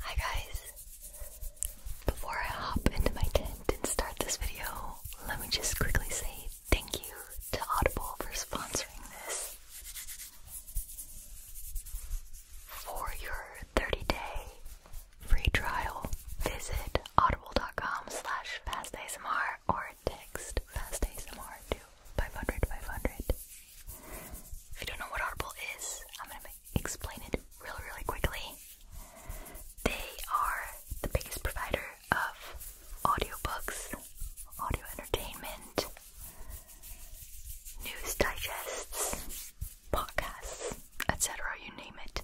Hi guys! Before I hop into my tent and start this video, let me just quickly say thank you to Audible for sponsoring this. For your 30-day free trial, visit audible.com fastasmr or text fastasmr to 500 If you don't know what Audible is, I'm gonna make explain it really, really quickly. They are the biggest provider of audio books, audio entertainment, news digests, podcasts, etc. You name it.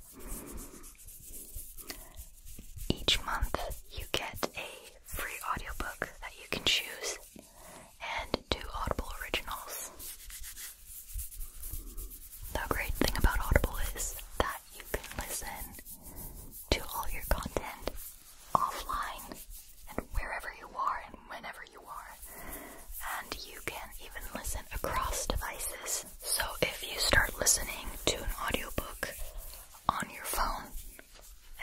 Each month, you get a free audiobook that you can choose and two Audible originals. The great thing about Audible is that you can listen to all your content offline and wherever you are and whenever you are. And you can even listen across devices. So if you start listening to an audiobook on your phone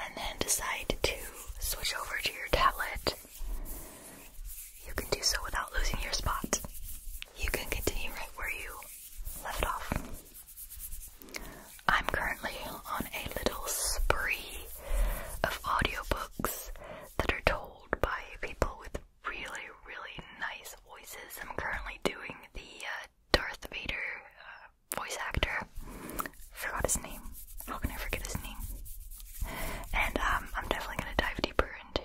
and then decide to switch over to your tablet you can do so without losing your spot. You can continue right where you left off. I'm currently on a little spree of audiobooks that are told by people with really, really nice voices. I'm currently doing the uh, Darth Vader uh, voice actor forgot his name. How can I forget his name? And um, I'm definitely gonna dive deeper into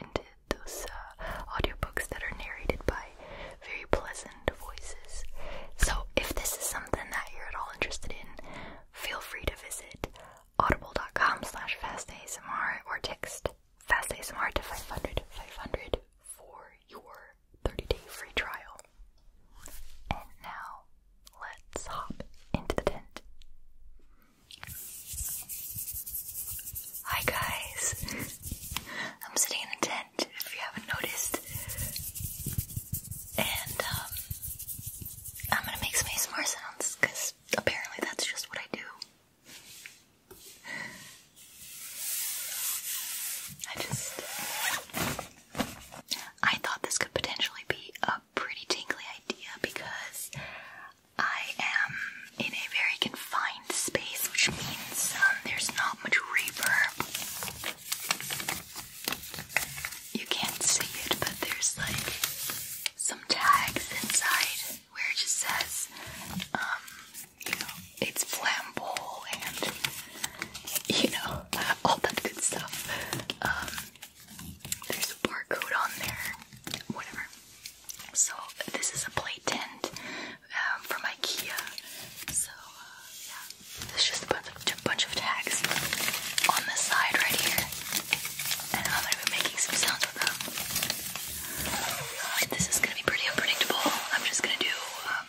into those uh, audiobooks that are narrated by very pleasant voices. So if this is something that you're at all interested in, feel free to visit audible.com slash fastasmr or text fastasmr to 500 500 for your 30-day free trial. And now let's hop into the tent. Hi guys! I'm sitting in a tent, if you haven't noticed. And um, I'm gonna make some ASMR sounds, because apparently that's just what I do. I just I thought this could potentially be a pretty tingly idea because I am in a very confined space, which means um, there's not much reverb. You can't see it, but there's like some tags inside where it just says, um, you know, it's flammable and you know, all that good stuff. Um, there's a barcode on there, whatever. So this is a play tent um, from IKEA. So uh, yeah, there's just a bunch of, tags on the side right here, and I'm gonna be making some sounds for them. this is gonna be pretty unpredictable. I'm just gonna do. Uh,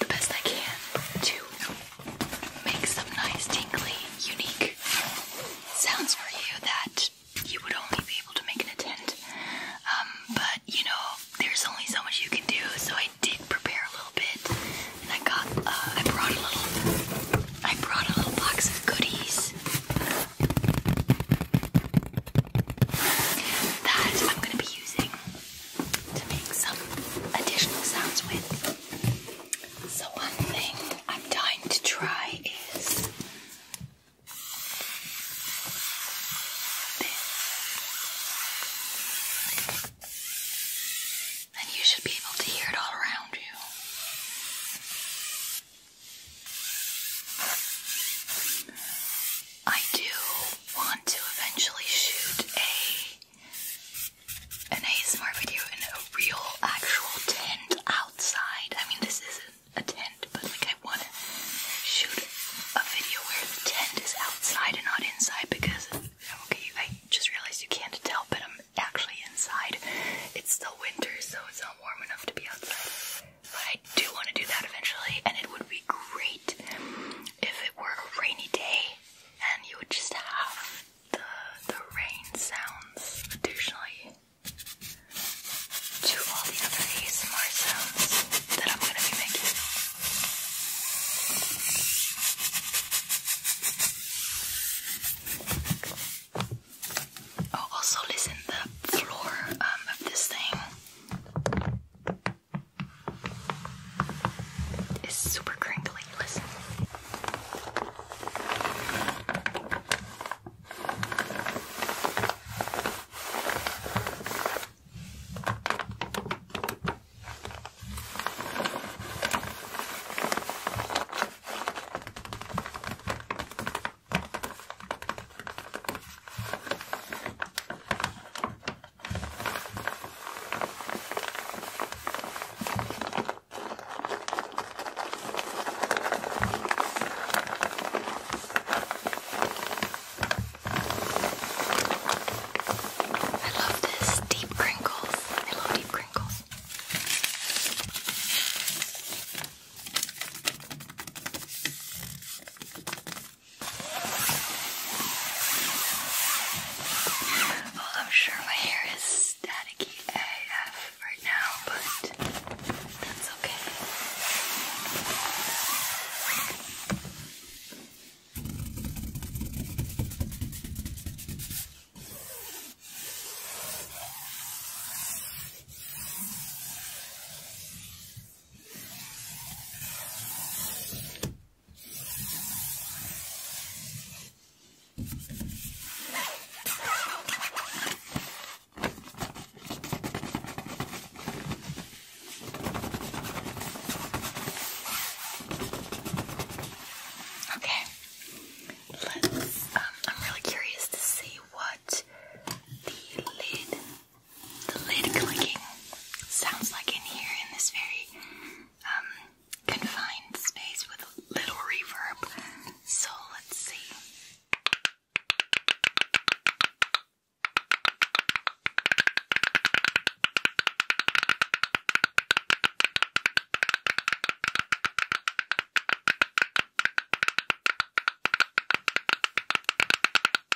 the best I can to make some nice, tingly, unique sounds for you that you would only be able to make in a um, but you know, there's only so much you can do, so I did prepare a little bit, and I got, uh, I brought a little, I brought a little box of goodies that I'm gonna be using to make some additional sounds with. So, one thing I'm dying to try is this. And you should be able to hear it all around you. I do want to eventually shoot a an ASMR video in a real actual tent outside. I mean this isn't a tent, but like I wanna shoot a video where the tent is outside and not inside because okay, I just realized you can't tell, but I'm actually inside. It's still winter, so it's not warm enough to be outside. But I do want to do that eventually, and it would be great if it were a rainy day and you would just have the, the rain sounds additionally to all the other ASMR sounds that I'm gonna be making. Oh, also listen the floor um, of this thing it's super crinkly. Listen. I love this deep wrinkles. I love deep wrinkles. I'm sure my hair is staticky AF right now, but that's Okay. Okay, let's. Um, I'm really curious to see what the lid the lid clicking sounds like in here in this very um, confined space with little reverb. So let's see.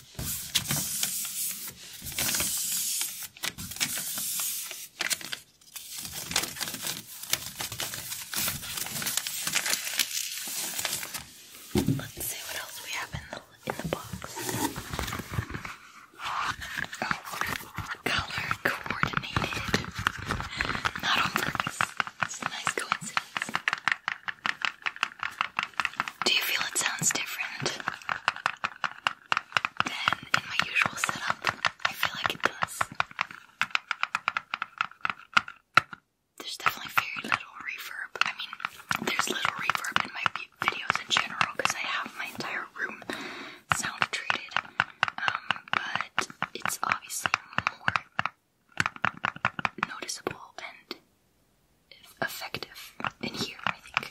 Let's see what else we have in the in the box. Oh, color coordinated. Not on purpose. It's a nice coincidence. Do you feel it sounds different than in my usual setup? I feel like it does. There's definitely very little reverb. I mean, there's little reverb in my videos in general because I have my entire room sound treated. Um, but it's obviously more noticeable and effective in here, I think.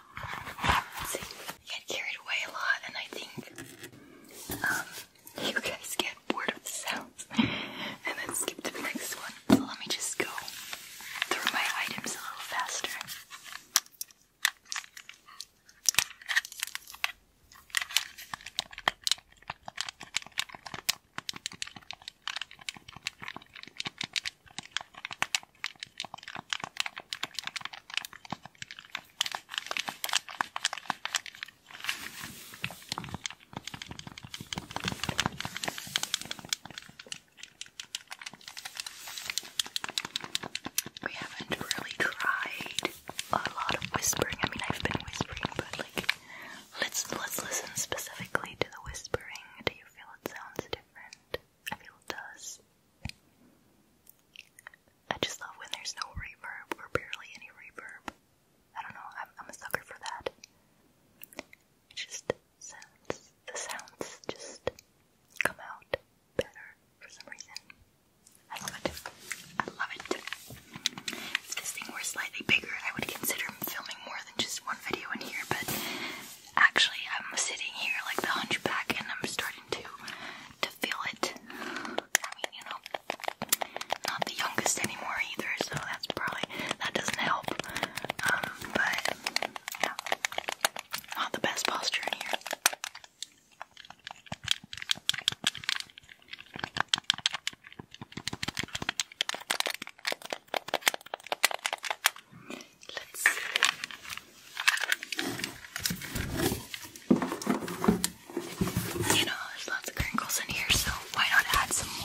I get carried away a lot, and I think um, you guys get bored of the sounds and then skip to the next one. So let me just go through my items a little faster. We haven't really tried a lot of whispering. I mean, I've been whispering, but like, let's let's listen specifically to the whispering. Do you feel it sounds different? I feel it does. I just love when there's no reverb or barely any reverb. I don't know, I'm, a sucker for that. It just sounds, the sounds just come out better for some reason. I love it. I love it. If this thing were slightly bigger, I would consider filming more than just one video in here, but Actually, I'm sitting here like the hunchback and I'm starting to to feel it. I mean, you know, not the youngest anymore either, so that's probably that doesn't help. Um, but yeah, not the best posture in here. Let's see. You know, there's lots of crinkles in here, so why not add some more?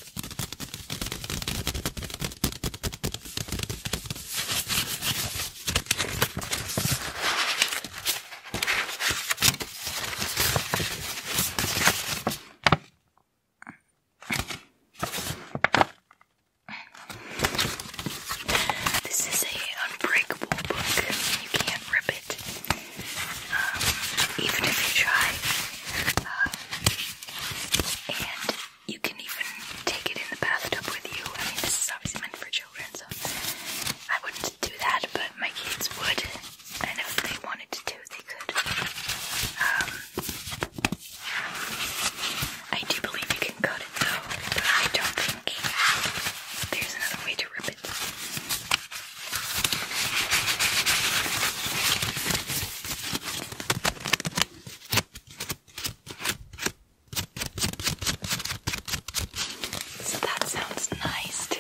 This is a unbreakable book. You can't rip it. Um, even if you try. Um, and you can even take it in the bathtub with you. I mean, this is obviously meant for children, so I wouldn't do that, but my kids would. And if they wanted to, they could. Um, I do believe you can cut it though, but I don't think there's another way to rip it. So that sounds nice too.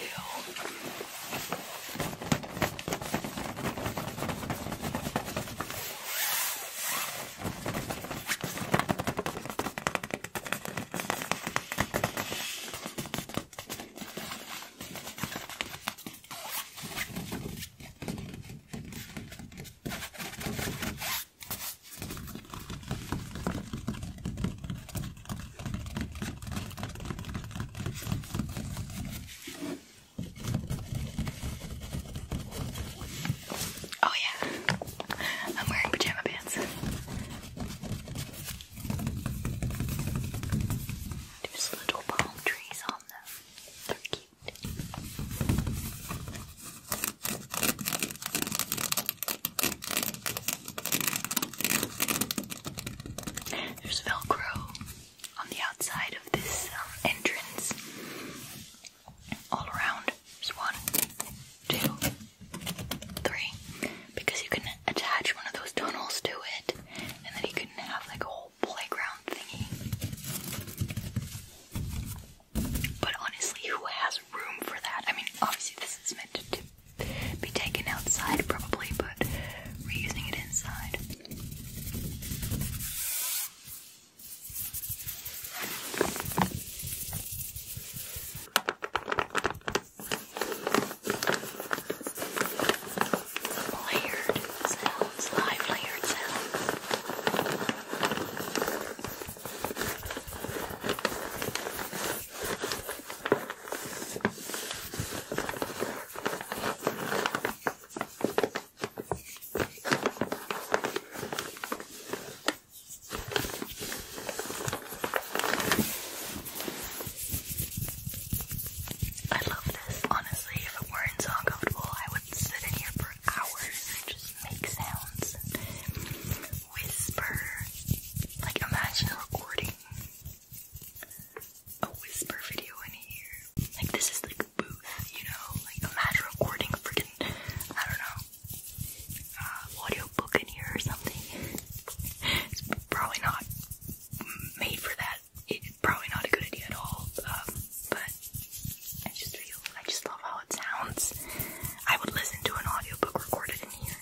Oh yeah, I'm wearing pajama pants. There's little palm trees on them. They're cute. There's Velcro on the outside of this um, entrance. All around. There's one, two, three because you can attach one of those tunnels to it, and then you can have like a whole playground thingy. But honestly, who has room for that? I mean, obviously, this is meant to, be taken outside, probably, but we're using it inside layered sounds, live layered sounds. I love this. Honestly, if it weren't so uncomfortable, I would sit in here for hours and just make sounds and whisper. Like, imagine recording a whisper video in here. Like, this is like a booth, you know? Like, imagine recording freaking, I don't know, uh, audiobook in here or something. it's probably not made for that. It's probably not a good idea at all. Um, but I just feel I just love how it sounds. I would listen to an audiobook recorded in here.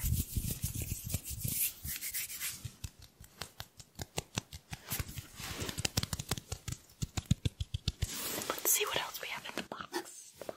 Let's see what else we have in the box.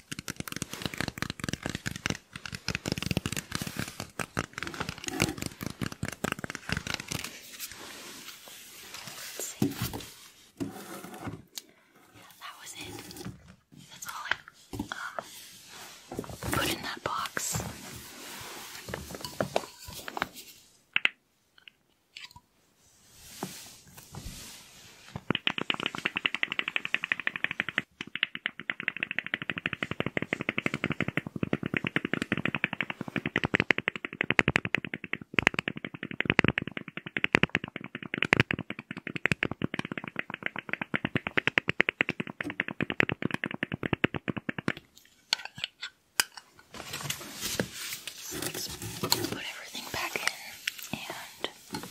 Let's see. Yeah, that was it. That's all I um, put in that box. Let's put everything back in and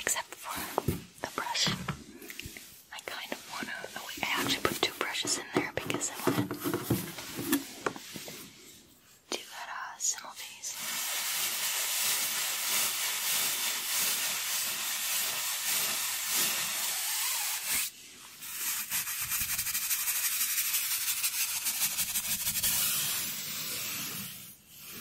except for the brush. I kind of want to. Oh, wait, I actually put two brushes in there because I want to do that uh, simultaneously. Brushing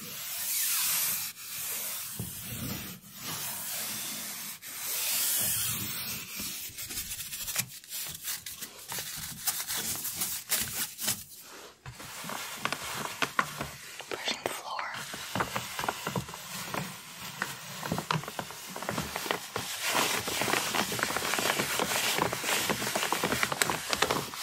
the floor. I love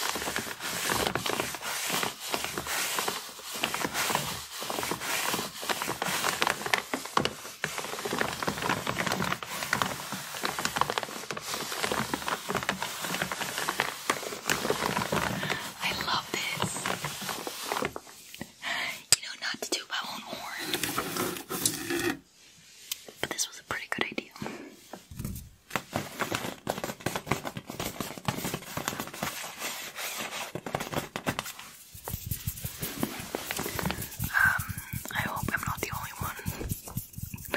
this. You know, not to do my own horn, but this was a pretty good idea. Um, I hope I'm not the only one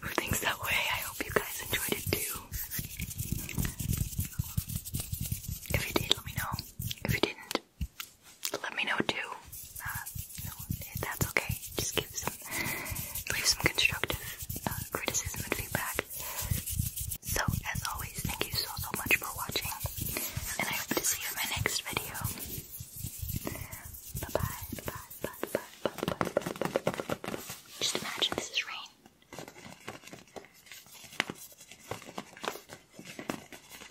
who thinks that way. I hope you guys enjoyed it too. If you did, let me know. If you didn't, let me know too. Uh, that's okay. Just give us leave some constructive uh, criticism and feedback. So, as always, thank you so, so much for watching, and I hope to see you in my next video. Bye-bye, bye-bye, bye-bye, bye-bye. Just imagine this is rain. Bye, bye,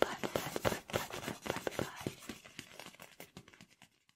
bye, bye, bye, bye, bye.